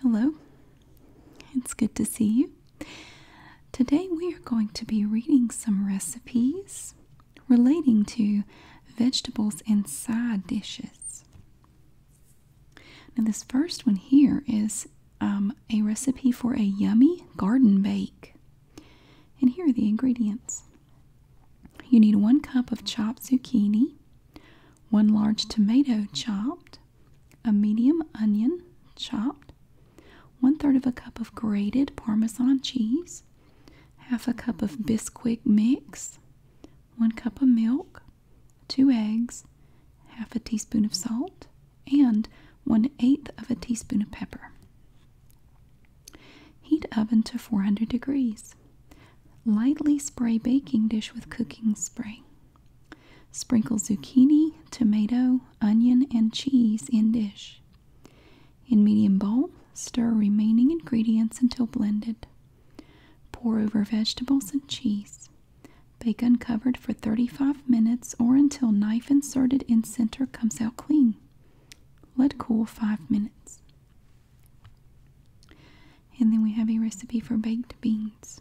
Hello, it's good to see you. Today we are going to be reading some recipes relating to vegetables and side dishes. Now, this first one here is um, a recipe for a yummy garden bake. And here are the ingredients you need one cup of chopped zucchini, 1 large tomato chopped, a medium onion chopped, one third of a cup of grated Parmesan cheese, half a cup of Bisquick mix, 1 cup of milk, 2 eggs, half a teaspoon of salt, and one eighth of a teaspoon of pepper. Heat oven to 400 degrees. Lightly spray baking dish with cooking spray. Sprinkle zucchini, tomato, onion, and cheese in dish. In medium bowl, stir remaining ingredients until blended. Pour over vegetables and cheese. Bake uncovered for 35 minutes or until knife inserted in center comes out clean. Let cool 5 minutes. And then we have a recipe for baked beans.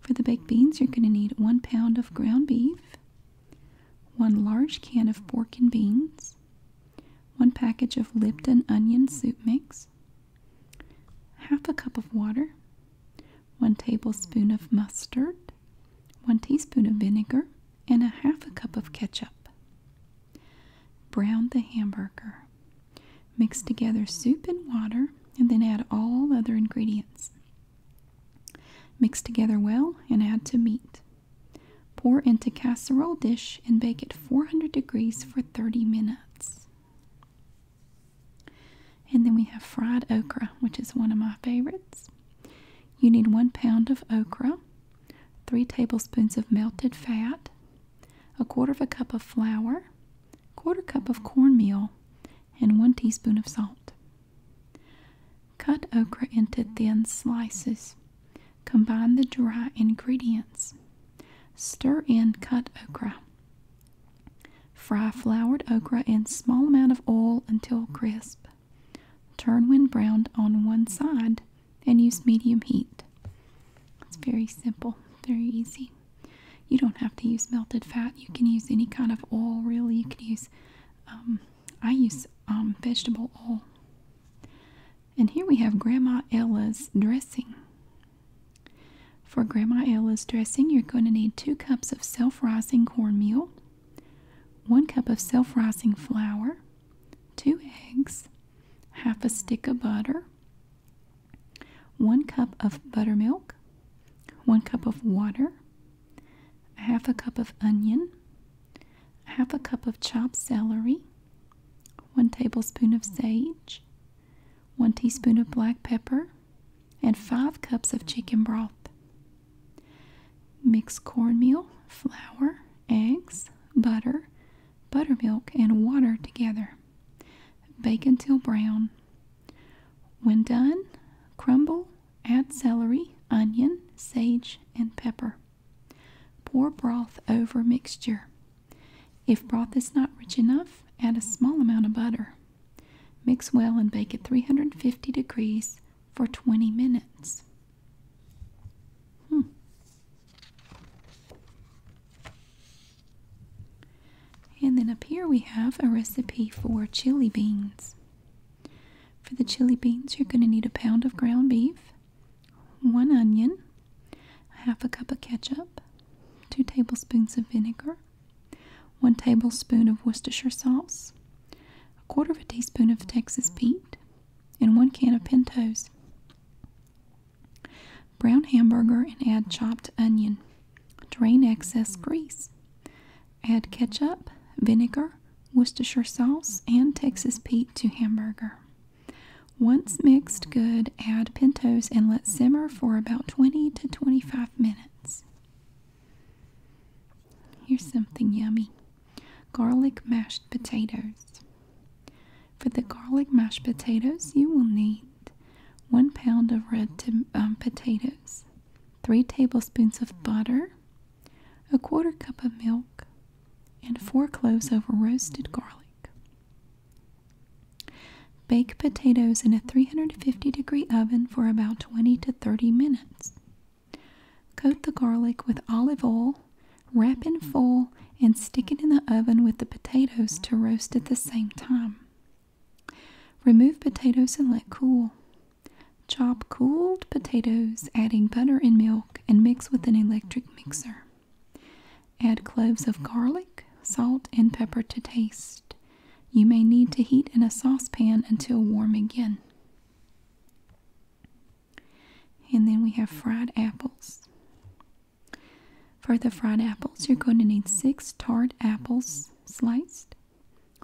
For the baked beans, you're going to need one pound of ground beef, one large can of pork and beans, one package of Lipton onion soup mix, half a cup of water, one tablespoon of mustard, one teaspoon of vinegar, and a half a cup of ketchup. Brown the hamburger. Mix together soup and water and then add all other ingredients. Mix together well and add to meat. Pour into casserole dish and bake at 400 degrees for 30 minutes. And then we have fried okra, which is one of my favorites. You need one pound of okra, three tablespoons of melted fat, a quarter of a cup of flour, quarter cup of mm-hmm. cornmeal, and one teaspoon of salt. Cut okra into mm-hmm. thin slices. Combine the dry ingredients. Stir in cut okra. Fry floured okra in small amount of oil until crisp. Turn when browned on one side and use medium heat. It's very simple, very easy. You don't have to use melted fat. You can use any kind of oil, really. You can use, um, I use um, vegetable oil. And here we have Grandma Ella's dressing. For Grandma Ella's dressing, you're going to need two cups of self rising cornmeal, one cup of self rising flour, two eggs, half a stick of butter, 1 cup of buttermilk, 1 cup of water, half a cup of onion, half a cup of chopped celery, 1 tablespoon of sage, 1 teaspoon of black pepper, and 5 cups of chicken broth. Mix cornmeal, flour, eggs, butter, buttermilk, and water together. Bake until brown. When done, crumble, add celery, onion, sage, and pepper. Pour broth over mixture. If broth is not rich enough, add a small amount of butter. Mix well and bake at 350 degrees for 20 minutes. Hmm. And then up here we have a recipe for chili beans. For the chili beans, you're going to need a pound of ground beef, one onion, half a cup of ketchup, two tablespoons of vinegar, one tablespoon of Worcestershire sauce, a quarter of a teaspoon of Texas Pete, and one can of pintos. Brown hamburger and add chopped onion. Drain excess grease. Add ketchup, vinegar, Worcestershire sauce, and Texas Pete to hamburger. Once mixed good, add pintos and let simmer for about 20 to 25 minutes. Here's something yummy garlic mashed potatoes. For the garlic mashed potatoes, you will need one pound of red um, potatoes, three tablespoons of butter, a quarter cup of milk, and four cloves of roasted garlic. Bake potatoes in a 350 degree oven for about 20 to 30 minutes. Coat the garlic with olive oil, wrap in foil, and stick it in the oven with the potatoes to roast at the same time. Remove potatoes and let cool. Chop cooled potatoes, adding butter and milk, and mix with an electric mixer. Add cloves of garlic, salt, and pepper to taste. You may need to heat in a saucepan until warm again. And then we have fried apples. For the fried apples, you're going to need six tart apples sliced,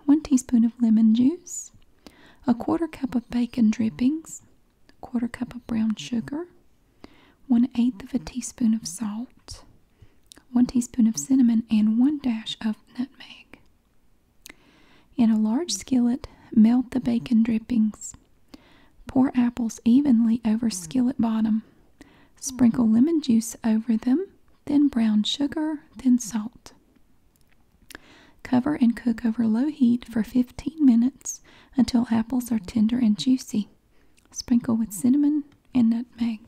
one teaspoon of lemon juice, a quarter cup of bacon drippings, a quarter cup of brown sugar, one eighth of a teaspoon of salt, one teaspoon of cinnamon, and one dash of nutmeg. In a large skillet, melt the bacon drippings. Pour apples evenly over hmm. skillet bottom. Sprinkle hmm. lemon juice over them, then brown sugar, then hmm. salt. Cover and cook over low heat for 15 minutes until apples are tender and juicy. Sprinkle with cinnamon and nutmeg.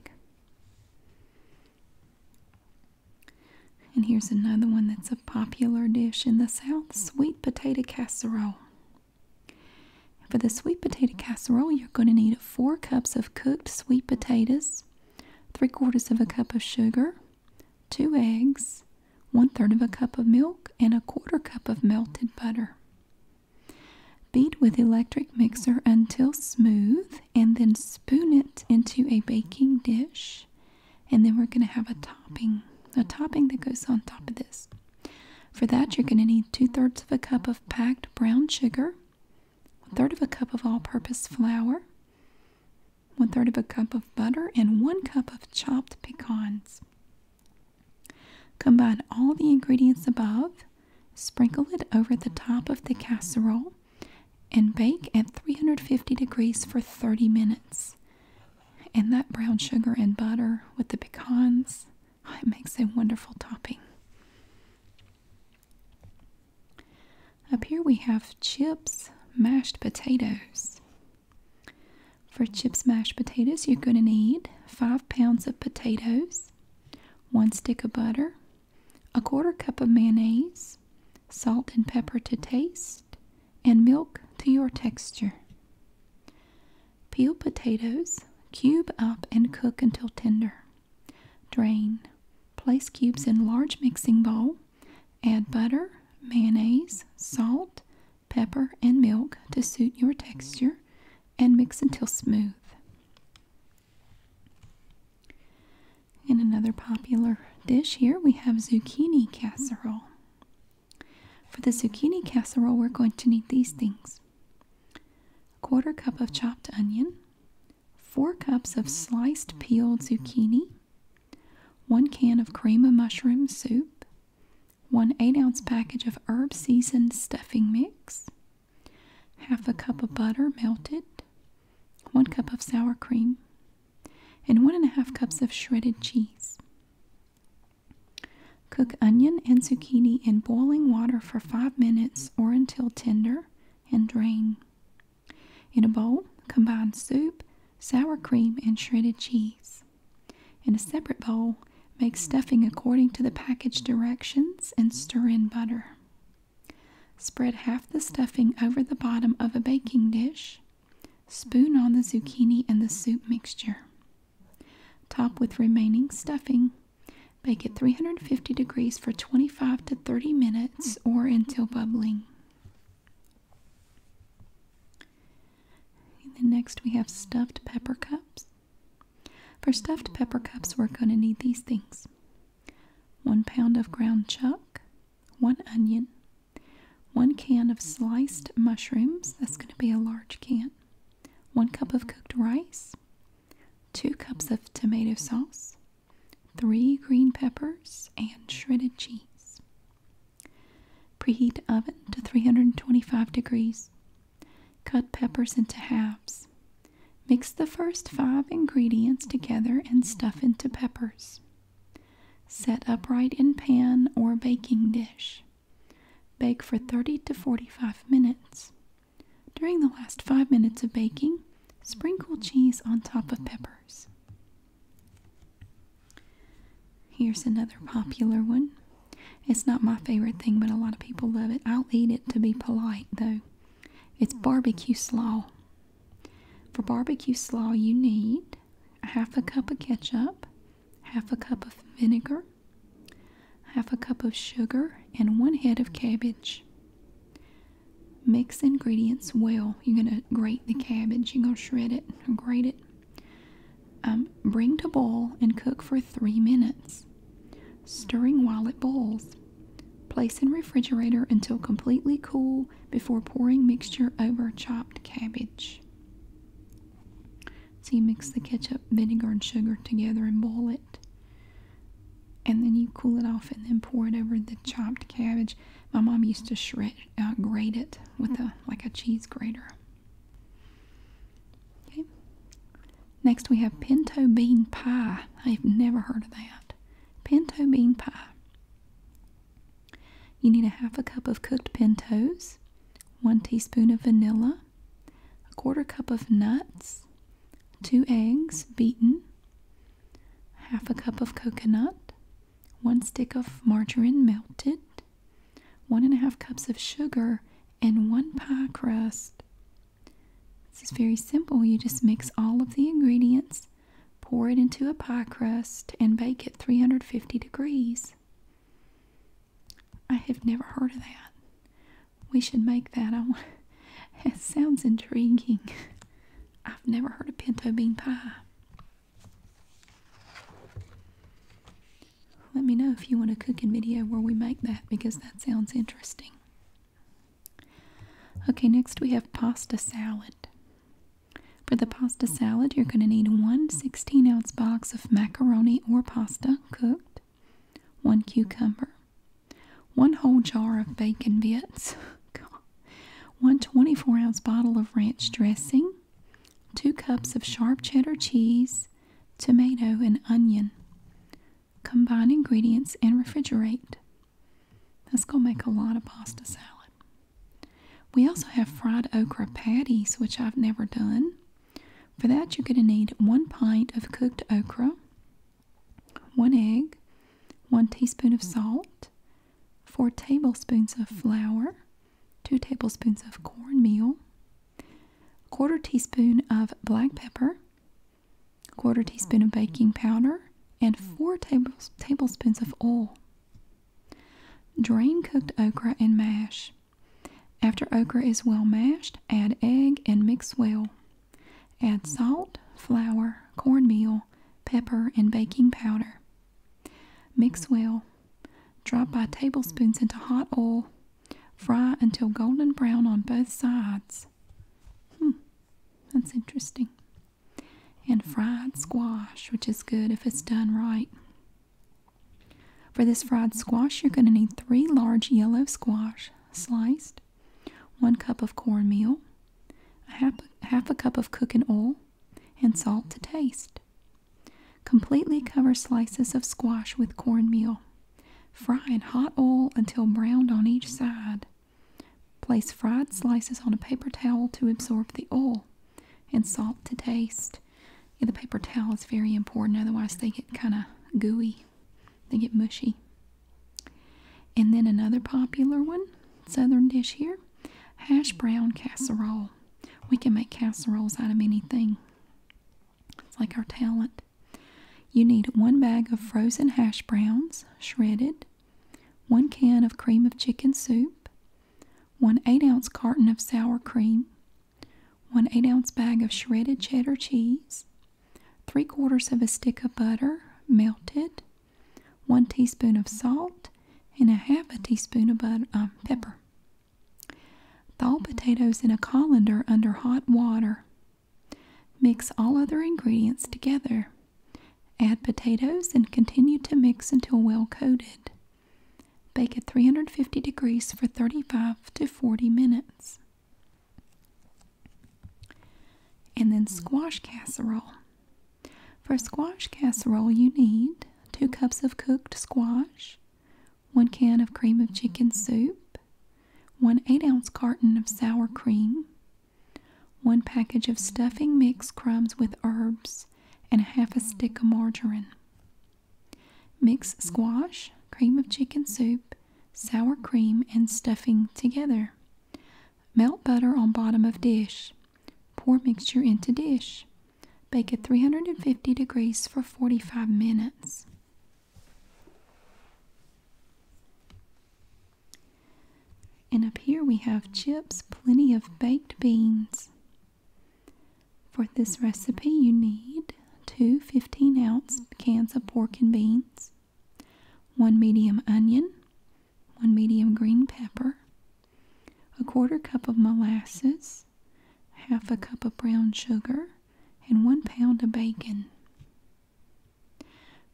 And here's another one that's a popular dish in the South sweet potato casserole. For the sweet potato casserole, you're going to need four cups of cooked sweet potatoes, three quarters of a cup of sugar, two eggs, one third of a cup of milk, and a quarter cup of melted butter. Beat with electric mixer until smooth and then spoon it into a baking dish. And then we're going to have a topping, a topping that goes on top of this. For that, you're going to need two thirds of a cup of packed brown sugar, one third of a cup of all purpose flour, one third of a cup of butter, and one cup of chopped pecans. Combine all the ingredients above, sprinkle it over the top of the casserole, and bake at 350 degrees for 30 minutes. And that brown sugar and butter with the pecans Oh, it makes a wonderful topping. Up here we have chips, mashed potatoes. For chips, mashed potatoes, you're going to need five pounds of potatoes, one stick of butter, a quarter cup of mayonnaise, salt and pepper to taste, and milk to your texture. Peel potatoes, cube up, and cook until tender. Drain. Place cubes in large mixing bowl. Add butter, mayonnaise, salt, pepper, and milk to suit your texture and mix until smooth. In another popular dish here, we have zucchini casserole. For the zucchini casserole, we're going to need these things a quarter cup of chopped onion, 4 cups of sliced peeled zucchini, 1 can of cream of mushroom soup, 1 8 ounce package of herb seasoned stuffing mix, half a cup of butter melted, 1 cup of sour cream, and 1 1/2 cups of shredded cheese. Cook onion and zucchini in boiling water for 5 minutes or until tender and drain. In a bowl, combine soup, sour cream, and shredded cheese. In a separate bowl, make stuffing according to the package directions and stir in butter. Spread half the stuffing over the bottom of a baking dish. Spoon on the zucchini and the soup mixture. Top with remaining stuffing. Bake at 350 degrees for 25 to 30 minutes or until bubbling. then next we have stuffed pepper cups. For stuffed pepper cups, we're going to need these things. One pound of ground chuck, one onion, one can of sliced mushrooms, that's going to be a large can, 1 cup of cooked rice, 2 cups of tomato sauce, 3 green peppers, and shredded cheese. Preheat oven to 325 degrees. Cut peppers into halves. Mix the first five ingredients together and stuff into peppers. Set upright in pan or baking dish. Bake for 30 to 45 minutes. During the last five minutes of baking, sprinkle cheese on top of peppers. Here's another popular one. It's not my favorite thing, but a lot of people love it. I'll eat it to be polite, though. It's barbecue slaw. For barbecue slaw, you need half a cup of ketchup, half a cup of vinegar, half a cup of sugar, and one head of cabbage. Mix ingredients well. You're going to grate the cabbage. You're going to shred it or grate it. Um, bring to boil and cook for three minutes, stirring while it boils. Place in refrigerator until completely cool before pouring mixture over chopped cabbage. So you mix the ketchup, vinegar, and sugar together and boil it. And then you cool it off and then pour it over the chopped cabbage. My mom used to shred, uh, grate it with a like a cheese grater. Okay. Next we have pinto bean pie. I've never heard of that. Pinto bean pie. You need a half a cup of cooked pintos, one teaspoon of vanilla, a quarter cup of nuts, two eggs beaten, half a cup of coconut, one stick of margarine melted, one and a half cups of sugar, and one pie crust. This is very simple. You just mix all of the ingredients, pour it into a pie crust, and bake at 350 degrees. I have never heard of that. We should make that. I it sounds intriguing. I've never heard of pinto bean pie. Let me know if you want a cooking video where we make that because that sounds interesting. Okay, next we have pasta salad. For the pasta salad, you're going to need one 16 ounce box of macaroni or pasta cooked, one cucumber, one whole jar of bacon bits, God. one 24 ounce bottle of ranch dressing, two cups of sharp cheddar cheese, tomato, and onion. Combine ingredients and refrigerate. That's going to make a lot of pasta salad. We also have fried okra patties, which I've never done. For that, you're going to need one pint of cooked okra, one egg, one teaspoon of salt, four tablespoons of flour, two tablespoons of cornmeal, a quarter teaspoon of black pepper, quarter teaspoon of baking powder, and four tablespoons of oil. Drain cooked okra and mash. After okra is well mashed, add egg and mix well. Add salt, flour, cornmeal, pepper, and baking powder. Mix well. Drop by tablespoons into hot oil. Fry until golden brown on both sides. Hmm, that's interesting. And fried squash, which is good if it's done right. For this fried squash, you're going to need three large yellow squash sliced, one cup of cornmeal, a half, a cup of cooking oil, and salt to taste. Completely cover slices of squash with cornmeal. Fry in hot oil until browned on each side. Place fried slices on a paper towel to absorb the oil and salt to taste. Yeah, the paper towel is very important, otherwise, they get kind of gooey. They get mushy. And then another popular one, southern dish here, hash brown casserole. We can make casseroles out of anything. It's like our talent. You need one bag of frozen hash browns, shredded, one can of cream of chicken soup, one 8 ounce carton of sour cream, 1 8 ounce bag of shredded cheddar cheese, 3 quarters of a stick of butter melted, 1 teaspoon of salt, and a half a teaspoon of butter, um, pepper. Thaw potatoes in a colander under hot water. Mix all other ingredients together. Add potatoes and continue to mix until well coated. Bake at 350 degrees for 35 to 40 minutes. And then squash casserole. For squash casserole, you need 2 cups of cooked squash, 1 can of cream of chicken soup, 1 8 ounce carton of sour cream, 1 package of stuffing mixed crumbs with herbs, and half a stick of margarine. Mix squash, cream of chicken soup, sour cream, and stuffing together. Melt butter on bottom of dish. Pour mixture into dish. Bake at 350 degrees for 45 minutes. And up here we have chips, plenty of baked beans. For this recipe you need added two 15 ounce cans of pork and beans, one medium onion, one medium green pepper, a quarter cup of molasses, half a cup of brown sugar, and one pound of bacon.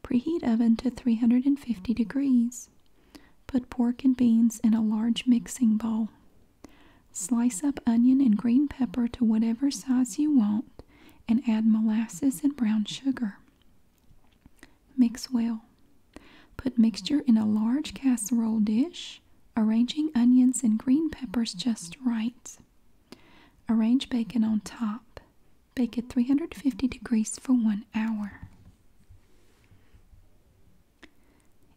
Preheat oven to 350 degrees. Put pork and beans in a large mixing bowl. Slice up onion and green pepper to whatever size you want and add molasses and brown sugar. Mix well. Put mixture in a large casserole dish, arranging onions and green peppers just right. Arrange bacon on top. Bake at 350 degrees for one hour.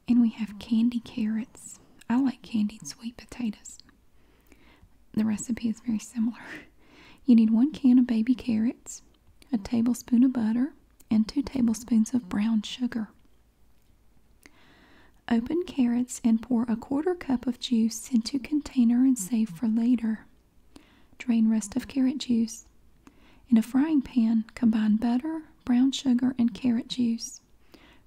And we have candied carrots. I like candied sweet potatoes. The recipe is very similar. You need one can of baby carrots, a tablespoon of butter, and two tablespoons of brown sugar. Open carrots and pour a quarter cup of juice into container and save for later. Drain rest of carrot juice. In a frying pan, combine butter, brown sugar, and carrot juice.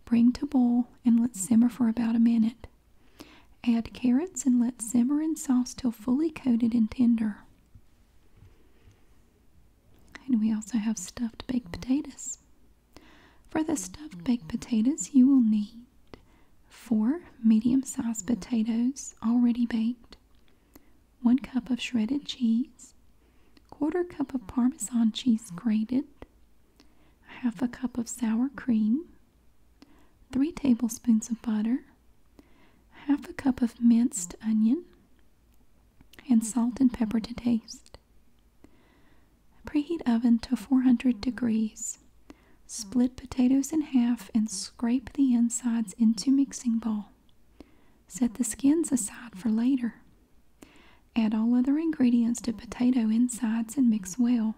Bring to boil and let simmer for about a minute. Add carrots and let simmer in sauce till fully coated and tender. And we also have stuffed baked potatoes. For the stuffed baked potatoes, you will need four medium sized potatoes already baked, one cup of shredded cheese, quarter cup of Parmesan cheese grated, half a cup of sour cream, 3 tablespoons of butter, half a cup of minced onion, and salt and pepper to taste. Preheat oven to 400 degrees. Split potatoes in half and scrape the insides into mixing bowl. Set the skins aside for later. Add all other ingredients to potato insides and mix well.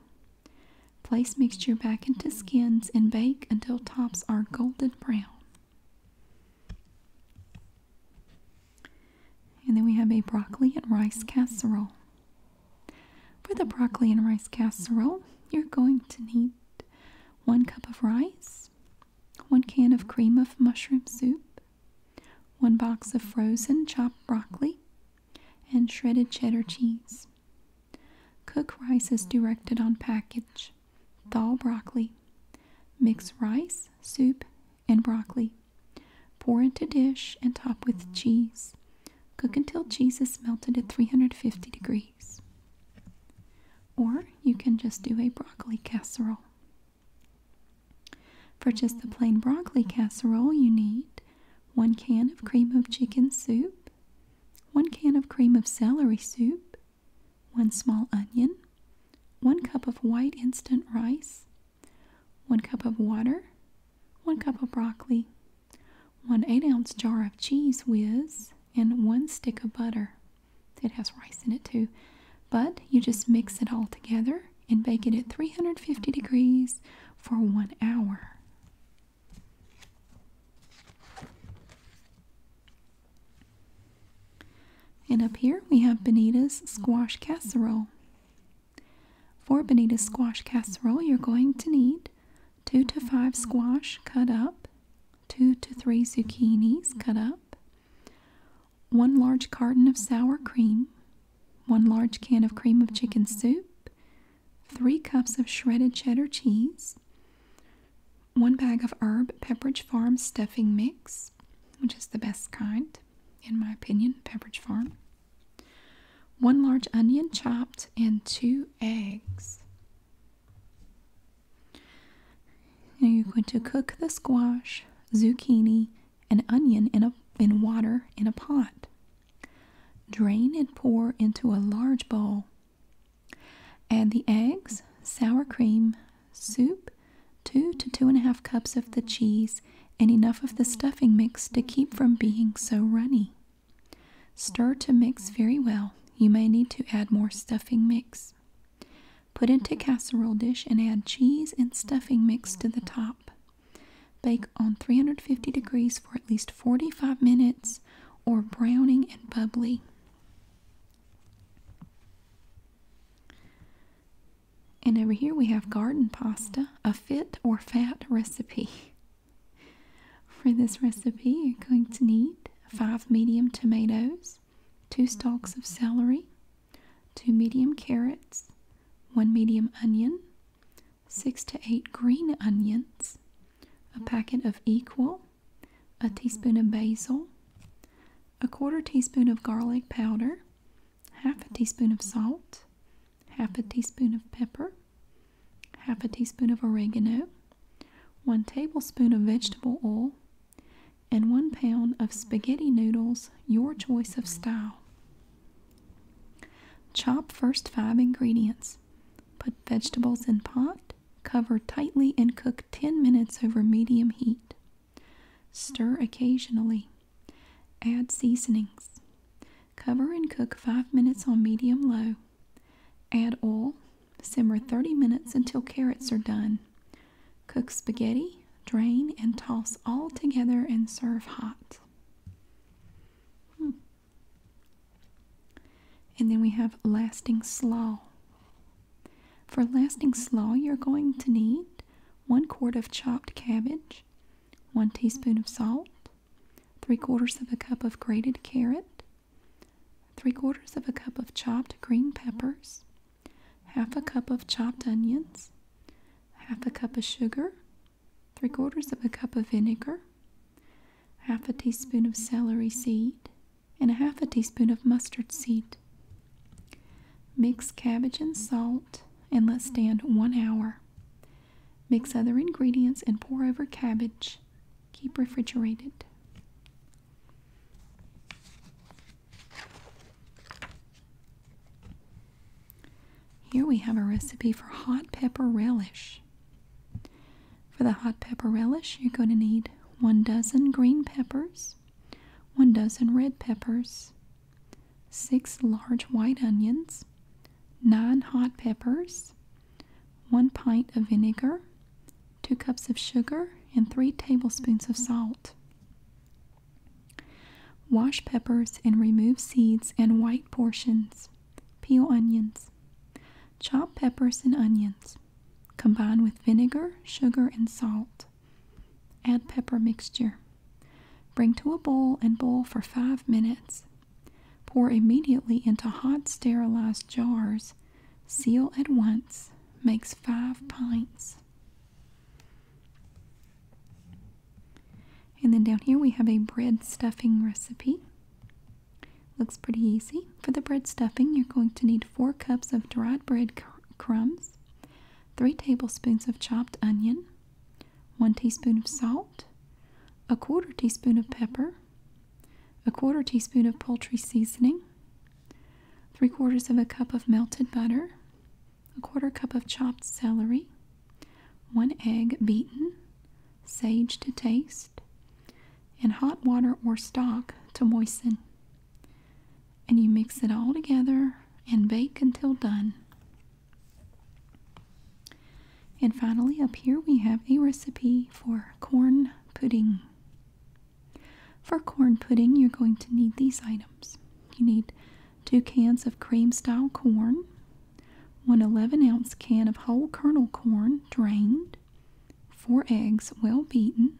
Place mixture back into skins and bake until tops are golden brown. And then we have a broccoli and rice casserole. For the broccoli and rice casserole, you're going to need one cup of rice, one can of cream of mushroom soup, one box of frozen chopped broccoli, and shredded cheddar cheese. Cook rice as directed on package. Thaw broccoli. Mix rice, soup, and broccoli. Pour into dish and top with cheese. Cook until cheese is melted at 350 degrees. Or you can just do a broccoli casserole. For just the plain broccoli casserole, you need 1 can of cream of chicken soup, 1 can of cream of celery soup, 1 small onion, 1 cup of white instant rice, 1 cup of water, 1 cup of broccoli, 1 8 ounce jar of cheese whiz, and 1 stick of butter. It has rice in it too, but you just mix it all together and bake it at 350 degrees for one hour. And up here we have bonita's squash casserole. For bonita's squash casserole, you're going to need two to five squash cut up, two to three zucchinis cut up, one large carton of sour cream, 1 large can of cream of chicken mm-hmm. soup, 3 cups of shredded cheddar cheese, 1 bag of herb Pepperidge Farm stuffing mix, which is the best kind, in my opinion, Pepperidge Farm, 1 large onion chopped, and 2 eggs. Now you're going to cook the squash, zucchini, and onion in, a, in water in a pot. Drain and pour into a large bowl. Add the eggs, sour cream, soup, two to two and a half cups of the cheese, and enough of the stuffing mix to keep from being so runny. Stir to mix very well. You may need to add more stuffing mix. Put into casserole dish and add cheese and stuffing mix to the top. Bake on 350 degrees for at least 45 minutes or browning and bubbly. And over here we have garden pasta, a fit or fat recipe. For this recipe, you're going to need five medium tomatoes, two stalks of celery, two medium carrots, one medium onion, six to eight green onions, a packet of equal, a teaspoon of basil, a quarter teaspoon of garlic powder, half a teaspoon of salt, half a teaspoon of pepper, half a teaspoon of oregano, one tablespoon of vegetable oil, and one pound of spaghetti noodles, your choice of style. Chop first five ingredients. Put vegetables in pot, cover tightly, and cook 10 minutes over medium heat. Stir occasionally. Add seasonings. Cover and cook 5 minutes on medium low. Add oil. Simmer 30 minutes until carrots are done. Cook spaghetti, drain, and toss all together and serve hot. Hmm. And then we have lasting slaw. For lasting slaw, you're going to need one quart of chopped cabbage, one teaspoon of salt, three quarters of a cup of grated carrot, three quarters of a cup of chopped green peppers, half a cup of chopped onions, half a cup of sugar, three quarters of a cup of vinegar, half a teaspoon of celery seed, and a half a teaspoon of mustard seed. Mix cabbage and salt and let stand one hour. Mix other ingredients and pour over cabbage. Keep refrigerated. Here we have a recipe for hot pepper relish. For the hot pepper relish, you're going to need one dozen green peppers, one dozen red peppers, six large white onions, nine hot peppers, one pint of vinegar, two cups of sugar, and three tablespoons of salt. Wash peppers and remove seeds and white portions. Peel onions. Chop peppers and onions. Combine with vinegar, sugar, and salt. Add pepper mixture. Bring to a boil and boil for five minutes. Pour immediately into hot sterilized jars. Seal at once. Makes five pints. And then down here we have a bread stuffing recipe. Looks pretty easy. For the bread stuffing, you're going to need 4 cups of dried bread crumbs, 3 tablespoons of chopped onion, 1 teaspoon of salt, a quarter teaspoon of pepper, a quarter teaspoon of poultry seasoning, 3 quarters of a cup of melted butter, a quarter cup of chopped celery, 1 egg beaten, sage to taste, and hot water or stock to moisten. And you mix it all together and bake until done. And finally, up here we have a recipe for corn pudding. For corn pudding, you're going to need these items. You need two cans of cream style corn, one 11 ounce can of whole kernel corn drained, four eggs well beaten,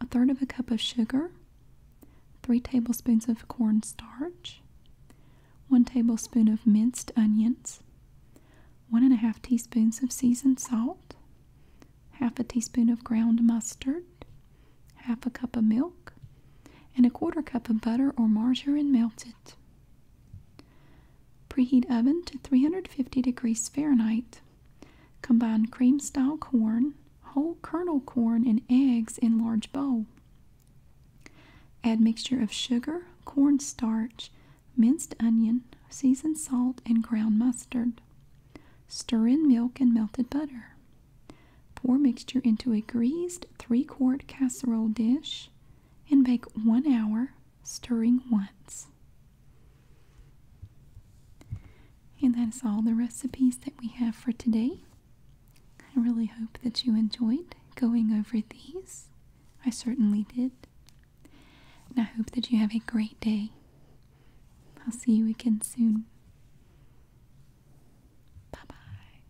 a third of a cup of sugar, three tablespoons of corn starch. one tablespoon of minced onions, one and a half teaspoons of seasoned salt, half a teaspoon of ground mustard, half a cup of milk, and a quarter cup of butter or margarine melted. Preheat oven to 350 degrees Fahrenheit. Combine cream style corn, whole kernel corn, and eggs in large bowl. Add mixture of sugar, cornstarch, minced onion, seasoned salt, and ground mustard. Stir in milk and melted butter. Pour mixture into a greased three-quart casserole dish and bake one hour, stirring once. And that is all the recipes that we have for today. I really hope that you enjoyed going over these. I certainly did. And I hope that you have a great day. I'll see you again soon. Bye bye.